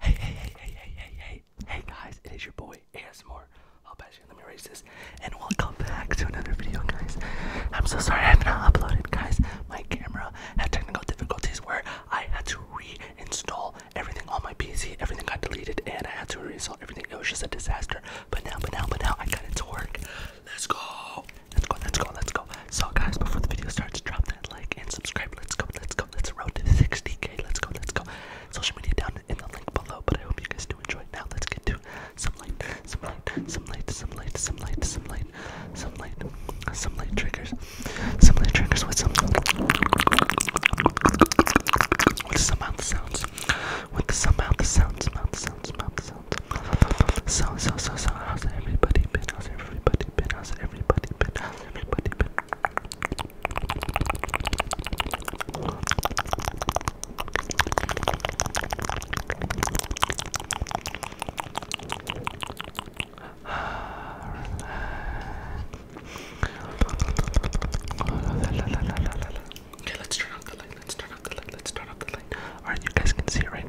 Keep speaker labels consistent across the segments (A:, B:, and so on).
A: Hey, hey, hey, hey, hey, hey, hey, hey guys, it is your boy ASMR. I'll bet you, let me erase this. And welcome back to another video, guys. I'm so sorry I have not uploaded, guys. My camera had technical difficulties where I had to reinstall everything on my PC. Everything got deleted and I had to reinstall everything. It was just a disaster. But now, but now, but now, I got it to work. Let's go. Let's go, let's go, let's go. So guys, before the video starts, drop that like and subscribe. Let's go, let's go, let's road to 60k. Let's go, let's go. Social media down in the link below, but I hope you guys do enjoy. Now let's get to some light, some light, some light, some light, some light, some light, some light, some light triggers, some light triggers with some with some mouth sounds, with some mouth sounds, mouth sounds, mouth sounds. So so so so, how's everybody been? How's everybody been? How's everybody? Okay, let's turn off the light. Let's turn off the light. Let's turn off the light. Alright, you guys can see it, right?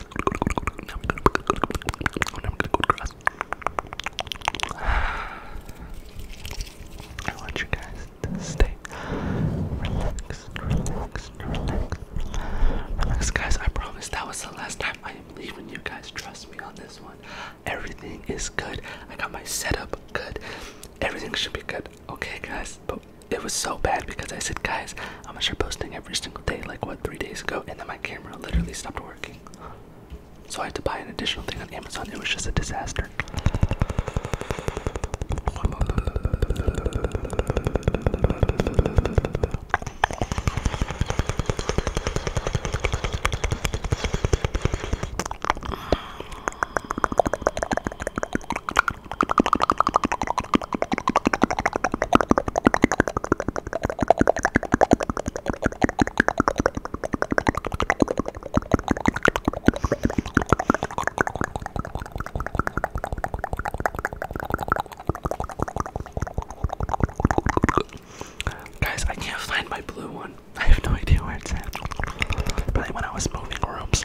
A: i want you guys to stay relaxed, relaxed, relaxed, relax, guys. I promise that was the last time I am leaving you guys. Trust me on this one. Everything is good. I got my setup good. Everything should be good. Okay, guys. But it was so bad because I said, guys, I'm gonna start posting every single day, like what, three days ago, and then my camera literally stopped working. So I had to buy an additional thing on Amazon. It was just a disaster. Guys, I can't find my blue one. I have no idea where it's at. But when I was moving rooms,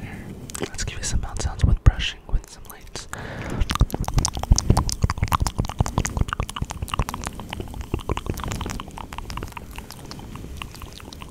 A: Here, let's give you some mouth sounds with brushing with some lights.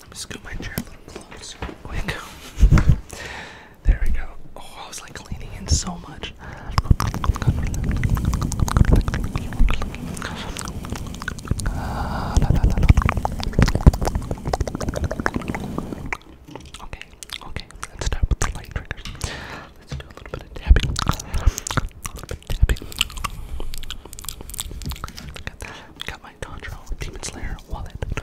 A: Let me scoot my chair a little closer, there we go. Oh, I was like leaning in so much. Okay, okay, let's start with the light triggers. Let's do a little bit of tapping. A little bit tapping. Got, my Contra Demon Slayer wallet.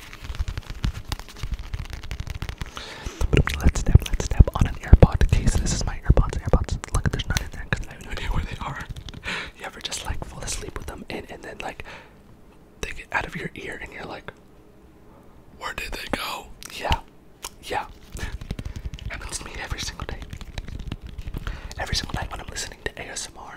A: But let's step, let's step on an AirPod case. This is my AirPods, AirPods. Look, there's nothing in there because I have no idea where they are. You ever just like fall asleep with them in and then like they get out of your ear and you're like, where did they go? Yeah, yeah. Happens to me every single day. Every single night when I'm listening to ASMR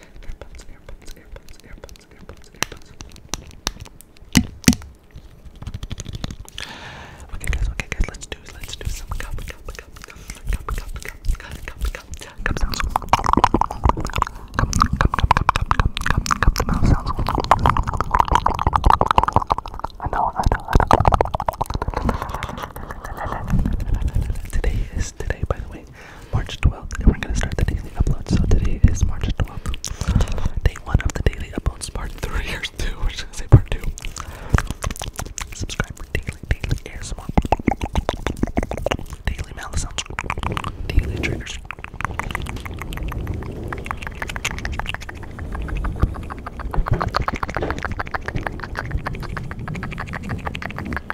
A: Earbuds, earbuds, earbuds, earbuds, earbuds, earbuds. Okay guys, okay guys, let's do let's do some cup cup cup cup cup cup cup cup cup cup sounds. Cup cup cup cup cup cup cup cup sounds. I know, I know, I know. Today is today by the way March 12th, and we're gonna start the daily upload. So today is March 12th, day one of the daily uploads, part three or two, we're just gonna say part two. Subscribe daily, daily ASMR, daily malice sounds, daily triggers.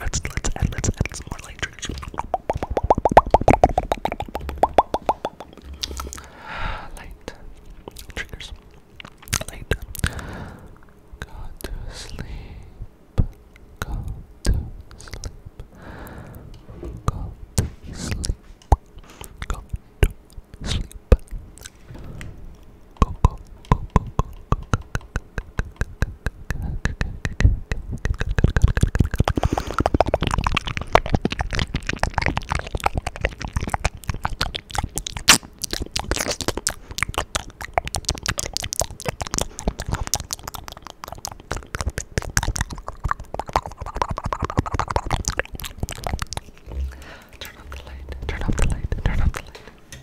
A: Let's let's add let's add some more light drinks. Light triggers. Light. Go to sleep. Go to sleep. Go to sleep. Go to sleep. Go to sleep. Turn off the light. Turn off the light. Turn off the light.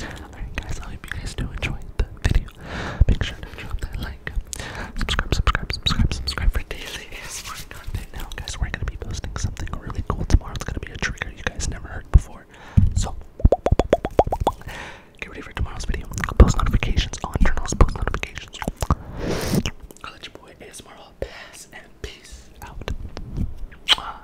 A: Alright guys, I hope you guys do enjoy the video. Make sure to drop that like. Subscribe, subscribe, subscribe, subscribe for daily ASMR content. Now guys, we're gonna be posting something really cool tomorrow. It's gonna be a trigger you guys never heard before. So get ready for tomorrow's video. Post notifications on journals, post notifications. I'll let your boy ASMR all pass and peace out.